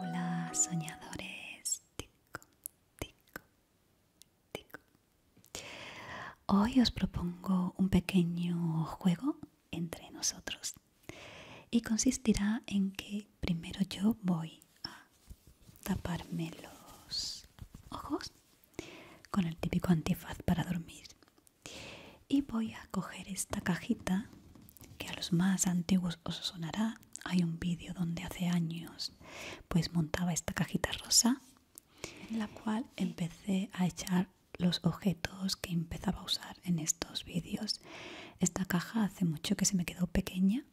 Hola soñadores, tico, tico, tico. Hoy os propongo un pequeño juego entre nosotros y consistirá en que primero yo voy a taparme los ojos con el típico antifaz para dormir y voy a coger esta cajita que a los más antiguos os sonará hay un vídeo donde hace años pues montaba esta cajita rosa en la cual empecé a echar los objetos que empezaba a usar en estos vídeos esta caja hace mucho que se me quedó pequeña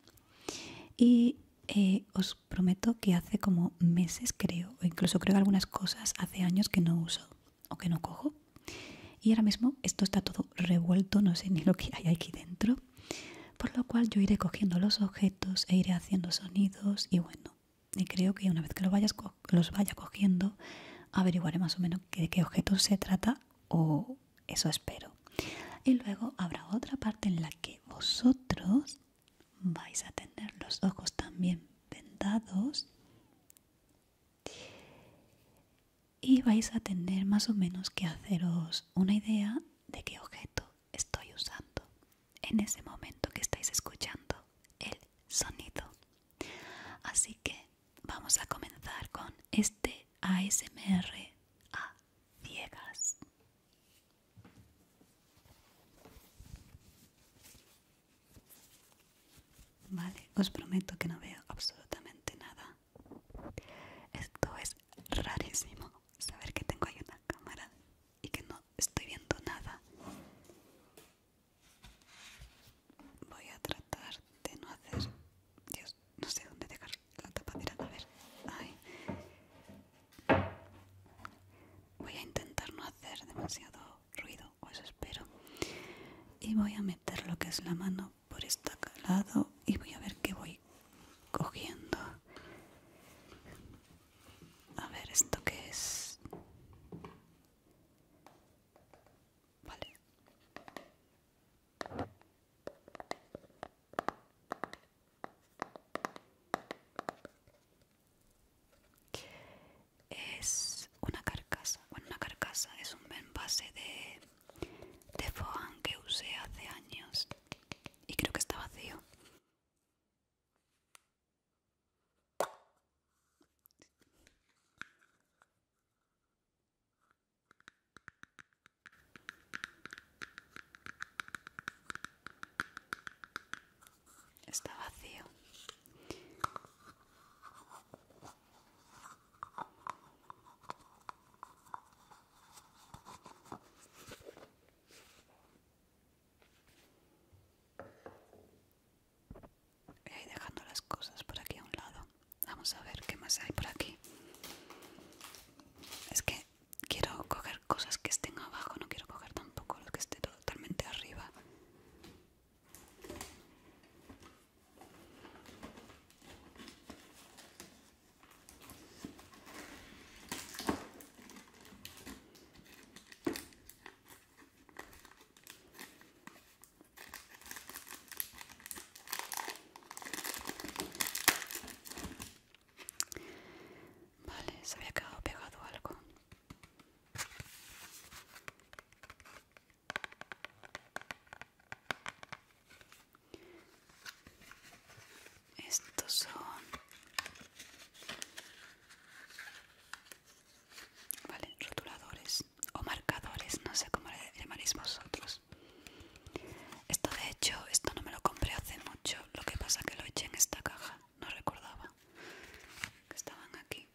y eh, os prometo que hace como meses creo, o incluso creo algunas cosas hace años que no uso o que no cojo. Y ahora mismo esto está todo revuelto, no sé ni lo que hay aquí dentro. Por lo cual yo iré cogiendo los objetos e iré haciendo sonidos y bueno, y creo que una vez que los vaya cogiendo, averiguaré más o menos de qué objetos se trata o eso espero. Y luego habrá otra parte en la que vosotros vais a tener los ojos también vendados y vais a tener más o menos que haceros una idea de qué objeto estoy usando en ese momento que estáis escuchando el sonido. Así que vamos a comenzar con este ASMR a ciegas. Vale, os prometo que no veo absolutamente nada. Esto es rarísimo, saber que tengo ahí una cámara y que no estoy viendo nada. Voy a tratar de no hacer... Dios, no sé dónde dejar la capacidad a ver. Voy a intentar no hacer demasiado ruido, pues espero. Y voy a meter lo que es la mano por este lado y voy a ver qué voy cogiendo. A ver, ¿esto qué es? Vale. Es una carcasa, bueno una carcasa es un envase de, de foam que usé hace años y creo que está vacío. Está vacío. Voy dejando las cosas por aquí a un lado. Vamos a ver qué más hay por aquí. Es que quiero coger cosas que estén abajo, no quiero coger tampoco lo que esté totalmente arriba. Vale, se había quedado pegado algo. Estos son... Vale, rotuladores o marcadores, no sé cómo le llamaréis vosotros. Esto de hecho, esto no me lo compré hace mucho, lo que pasa que lo eché en esta caja, no recordaba que estaban aquí.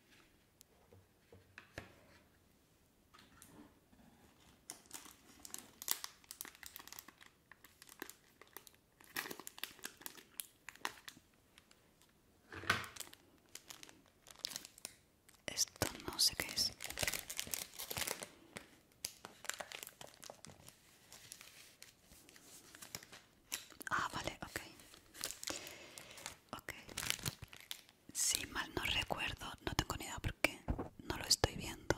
Esto no sé qué es. Ah, vale, ok. Ok. Si mal no recuerdo, no tengo ni idea porque no lo estoy viendo.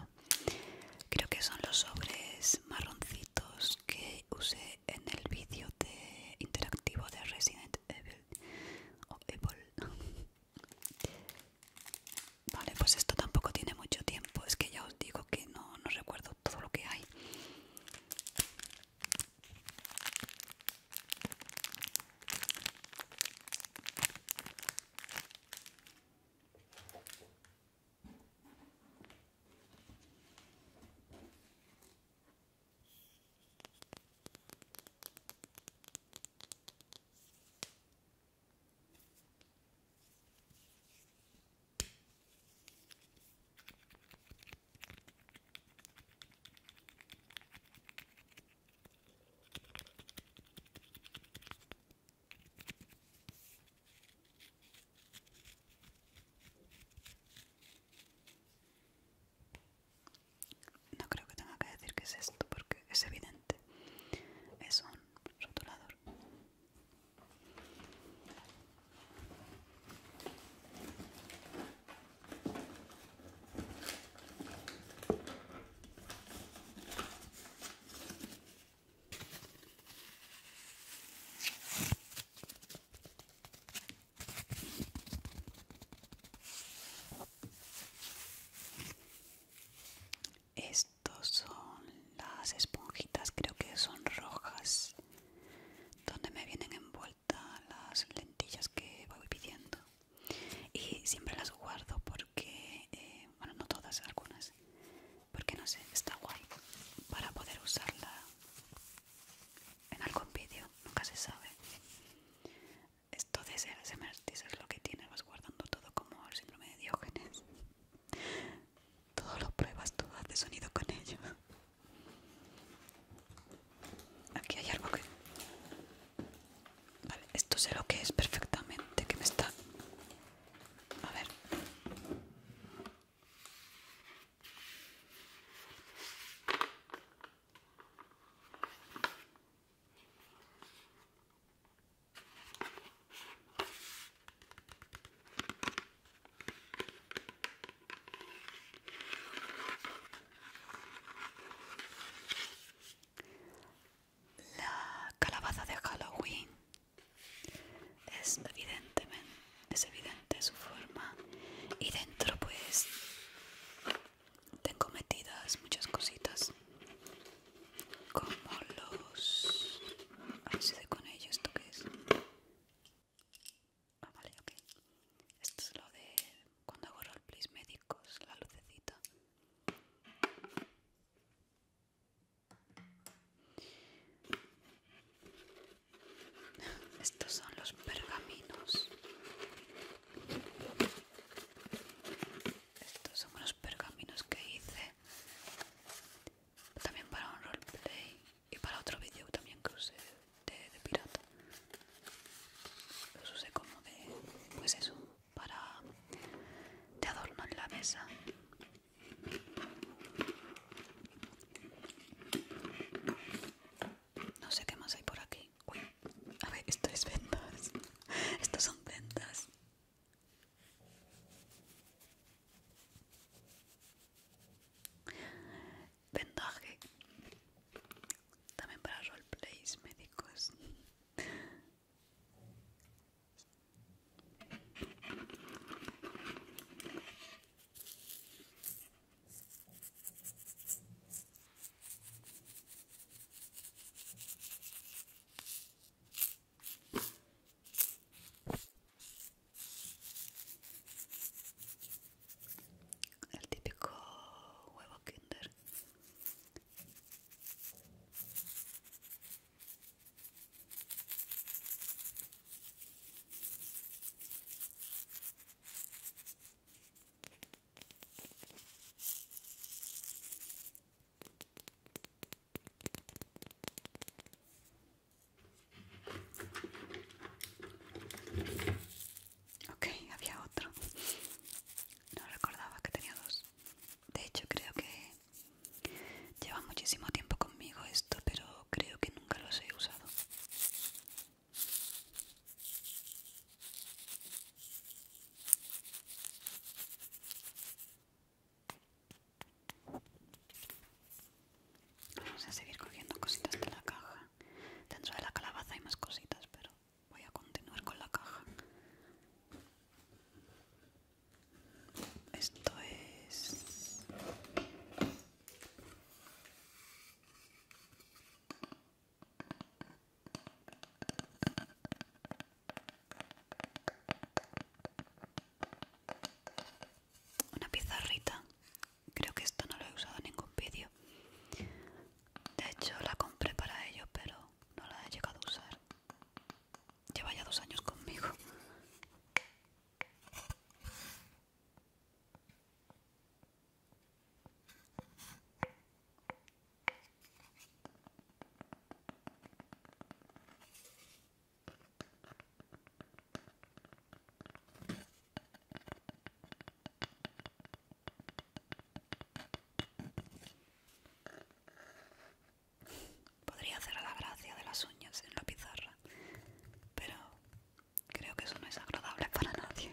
Creo que son los sobres marroncitos que usé en el vídeo de interactivo de Resident Evil o Evil. Vale, pues esto tampoco tiene mucho tiempo. Es que ya os digo que no, recuerdo todo lo que hay. No creo que tenga que decir que es esto porque es evidente. Es rotulador. Estos son las esponjitas, creo que son rojas, donde me vienen envueltas las lentillas que voy pidiendo. Y siempre las guardo porque, eh, bueno, no todas, algunas, porque no sé, está guay para poder usarla en algún vídeo, nunca se sabe. Esto de ser es lo que tiene, vas guardando todo como el síndrome de Diógenes. Todo lo pruebas, todo hace sonido con ello. Aquí hay algo que... Vale, esto sé lo que es perfectamente, que me está... A ver. La calabaza de Halloween es evidentemente es evidente su forma y dentro pues tengo metidas muchas cositas como los... A ver con ellos ¿esto que es? Ah, vale, ok. Esto es lo de cuando el place médicos, la lucecita. Estos son los pergaminos. Estos son unos pergaminos que hice también para un roleplay y para otro vídeo también que usé de, de pirata. Los usé como de, pues eso, para de adorno en la mesa. No sé qué más hay por aquí. a ver, esto es ventas. Estos son ventas Vendaje. También para roleplays médicos. El típico huevo Kinder. Ok, había otro. No recordaba que tenía dos. De hecho, creo que lleva muchísimo tiempo conmigo esto, pero creo que nunca los he usado. Vamos a seguir cogiendo cositas de la caja. Dentro de la calabaza hay más cositas, pero voy a continuar con la caja. Esto es... Una pizarrita. Creo que esto no lo he usado en ningún vídeo. De hecho, la compré para ello, pero no la he llegado a usar. Lleva ya dos años conmigo. Podría hacer la gracia de las uñas en la pizarra, pero creo que eso no es agradable para nadie.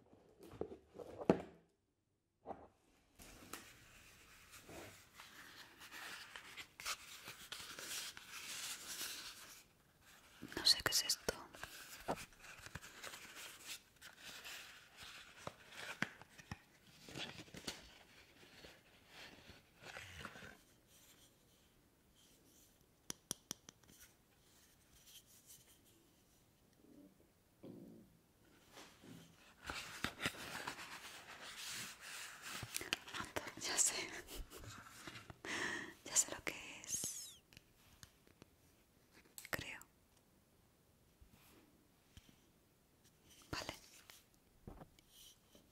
No sé qué es esto ya sé. ya sé lo que es. Creo. Vale.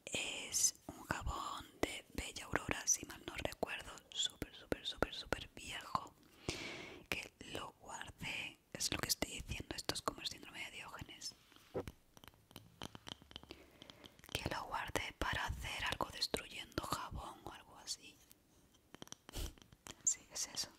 Es un jabón de Bella Aurora, si mal no recuerdo, súper, súper, súper, súper viejo, que lo guarde Es lo que estoy diciendo, esto es como el síndrome de Diógenes. Que lo guardé para hacer algo destruyendo jabón o algo así. Sí, es eso.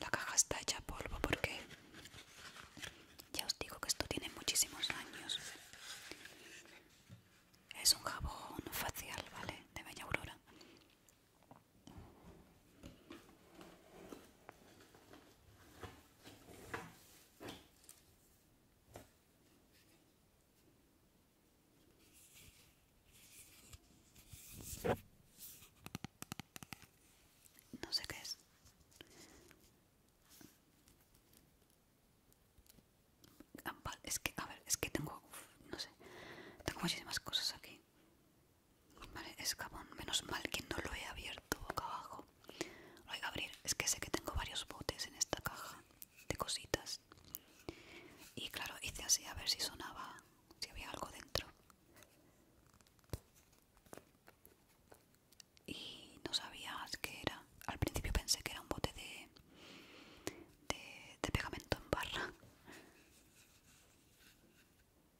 La caja está hecha polvo porque ya os digo que esto tiene muchísimos años. Es un jabón facial, ¿vale? De Bella Aurora. No sé qué es. Es que, a ver, es que tengo, no sé, tengo muchísimas cosas aquí. Vale, escabón, menos mal que no lo he abierto boca abajo. Lo hay que abrir, es que sé que tengo varios botes en esta caja de cositas. Y claro, hice así a ver si sonaba, si había algo dentro. Y no sabía que era. Al principio pensé que era un bote de, de pegamento en barra.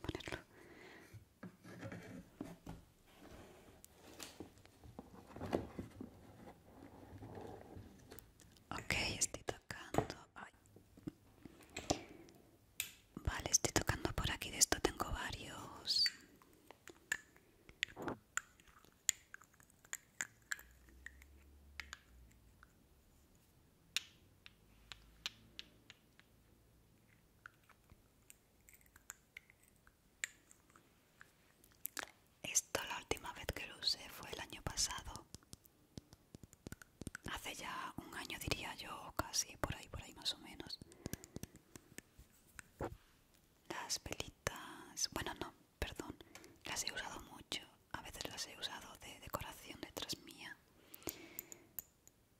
ponerlo. Ok, estoy tocando. Vale, estoy tocando por aquí. De esto tengo varios. Esto la última vez que lo usé fue el año pasado. Hace ya un año diría yo, casi por ahí, por ahí más o menos. Las pelitas... bueno no, perdón, las he usado mucho a veces las he usado de decoración detrás mía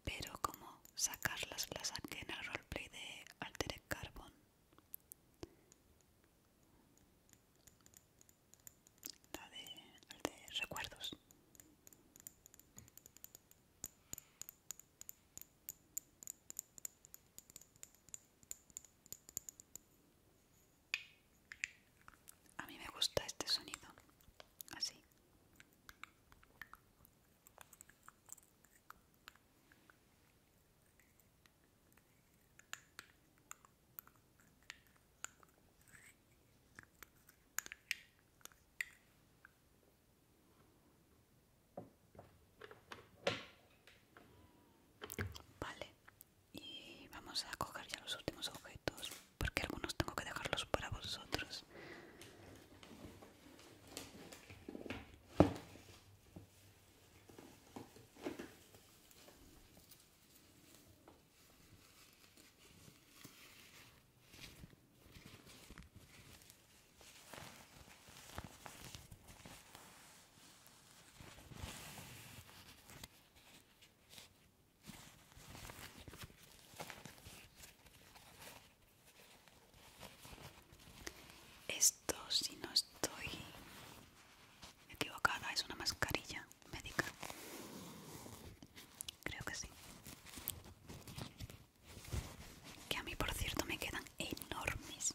pero como sacarlas las saqué en el roleplay de Altered Carbon la de recuerdos a mí me gusta este sonido, así. Vale, y vamos a coger ya los últimos objetos porque algunos tengo que dejarlos para vosotros esto, si no estoy equivocada, es una mascarilla médica. Creo que sí. Que a mí, por cierto, me quedan enormes.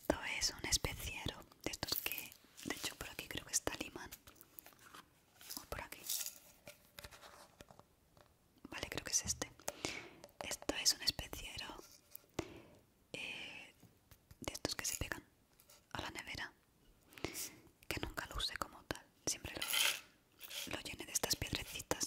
esto es un especiero de estos que, de hecho, por aquí creo que está Liman. O por aquí. Vale, creo que es este. Esto es un especiero eh, de estos que se pegan a la nevera. Que nunca lo como tal. Siempre lo llené de estas piedrecitas.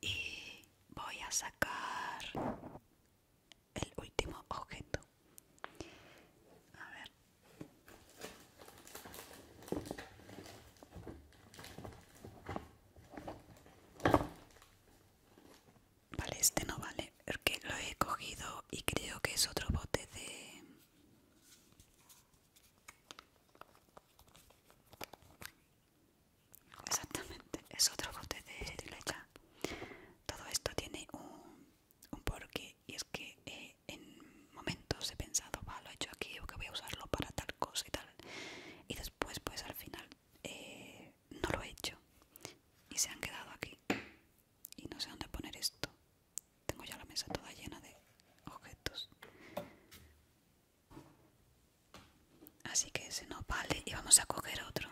y voy a sacar el último objeto vale este no vale porque lo he cogido y creo que es otro bote de Exactamente, es otro bote de lecha. Todo esto tiene un, porqué y es que eh, en momentos he pensado, va, lo he hecho aquí, o que voy a usarlo para tal cosa y tal. Y después, pues al final, eh, no lo he hecho y se han quedado aquí. Y no sé dónde poner esto. Tengo ya la mesa toda llena de objetos. Así que ese no vale y vamos a coger otro.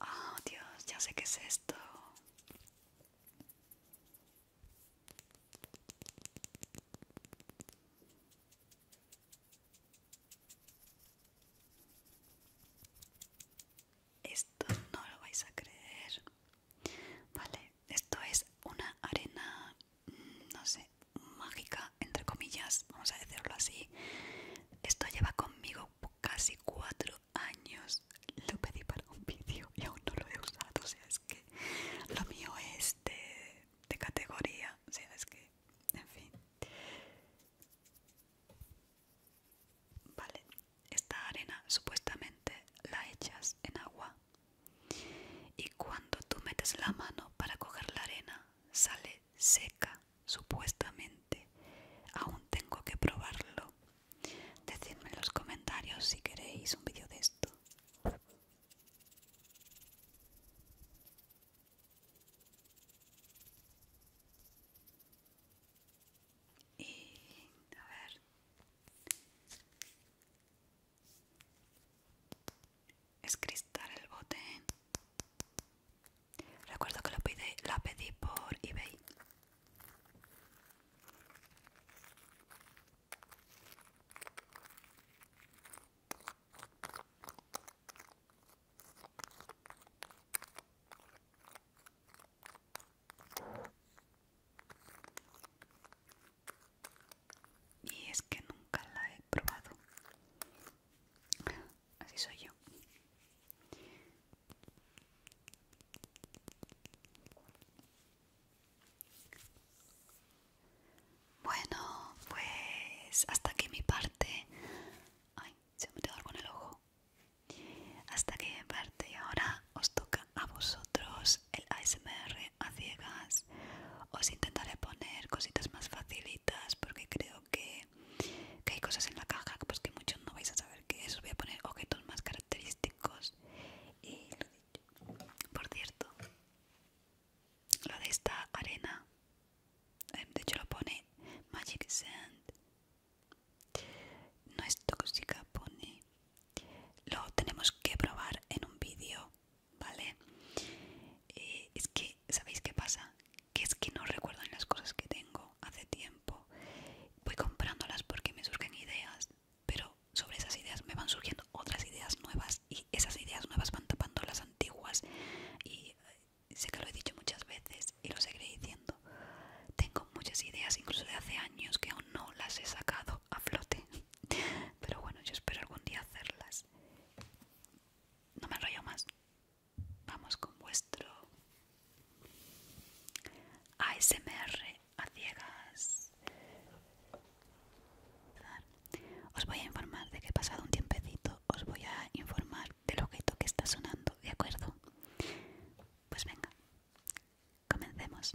Oh Dios, ya sé qué es esto. Esto no lo vais a creer. Vale, esto es una arena, mm, no sé, mágica, entre comillas, vamos a decirlo así. Esto lleva conmigo casi cuatro años. Lo pedí para un vídeo y aún no lo he usado. O sea, es que lo mío es este, de categoría sabes que en fin vale esta arena supuestamente la echas en agua y cuando tú metes la mano para coger la arena sale seca supuestamente aún tengo que probarlo decidme en los comentarios si queréis un vídeo de esto y a ver. Es cristal el bote. Recuerdo que lo pide, la pedí por eBay. Y es que nunca la he probado. Así soy yo. Bueno, pues hasta aquí mi parte. Ay, se me te algo en el ojo. Hasta aquí mi parte y ahora os toca a vosotros el ASMR a ciegas. Os intentaré poner cositas más facilitas porque creo que, hay cosas en la caja pues que muchos no vais a saber qué es. Os voy a poner objetos más característicos y por cierto, lo de esta arena, eh, de hecho lo pone Magic Sand, no es tóxica, pone. Lo tenemos que probar en un vídeo, ¿vale? Eh, es que, ¿sabéis qué pasa? Que es que no recuerdo las cosas que tengo hace tiempo. Voy comprándolas porque me surgen ideas pero sobre esas ideas me van surgiendo otras ideas nuevas y esas ideas nuevas van tapando las antiguas y eh, sé que lo he dicho muchas veces y lo seguiré diciendo. Tengo muchas ideas incluso de hace años que aún no las he sacado a flote, pero bueno, yo espero algún día hacerlas. No me enrollo más. Vamos con vuestro ASMR a ciegas. Os voy a informar de que pasado un tiempecito os voy a informar del objeto que está sonando, ¿de acuerdo? Pues venga, comencemos.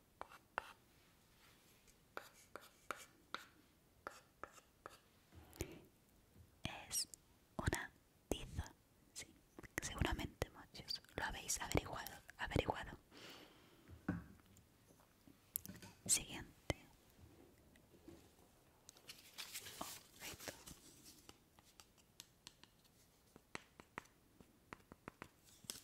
Es una tiza, seguramente muchos lo habéis averiguado, averiguado. Siguiente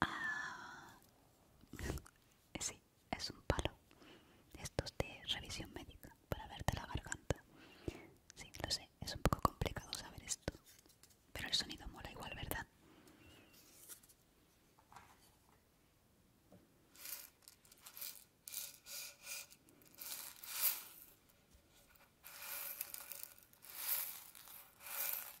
ah. Sí, es un palo. Esto es de revisión médica para verte la garganta. Sí, lo sé, es un poco complicado saber esto. Pero el sonido mola igual, ¿verdad?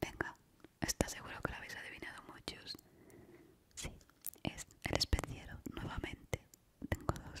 Venga, está seguro que lo habéis adivinado muchos. Sí, es el especiero nuevamente. Tengo dos.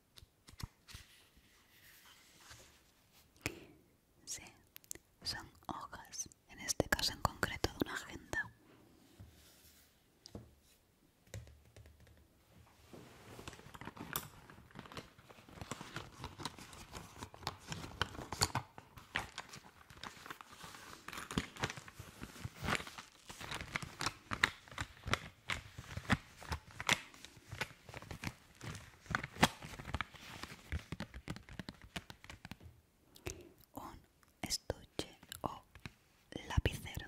Sí, son hojas, en este caso en concreto de una agenda un estuche o lapicero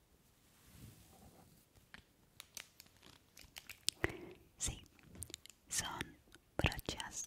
Sí, son brochas.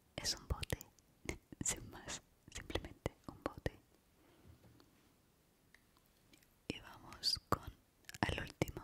es un bote, sin más, simplemente un bote. Y vamos con al último.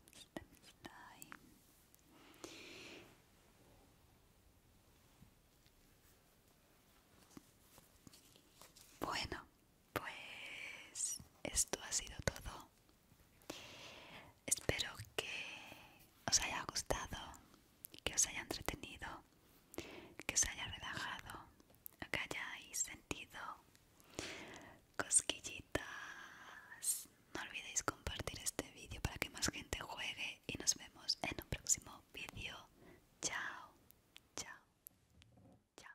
Bueno, pues esto ha sido todo. Espero que os haya gustado, que os haya entretenido, que os haya relajado, que hayáis sentido cosquillitas. No olvidéis compartir este vídeo para que más gente juegue y nos vemos en un próximo vídeo. Chao, chao, chao.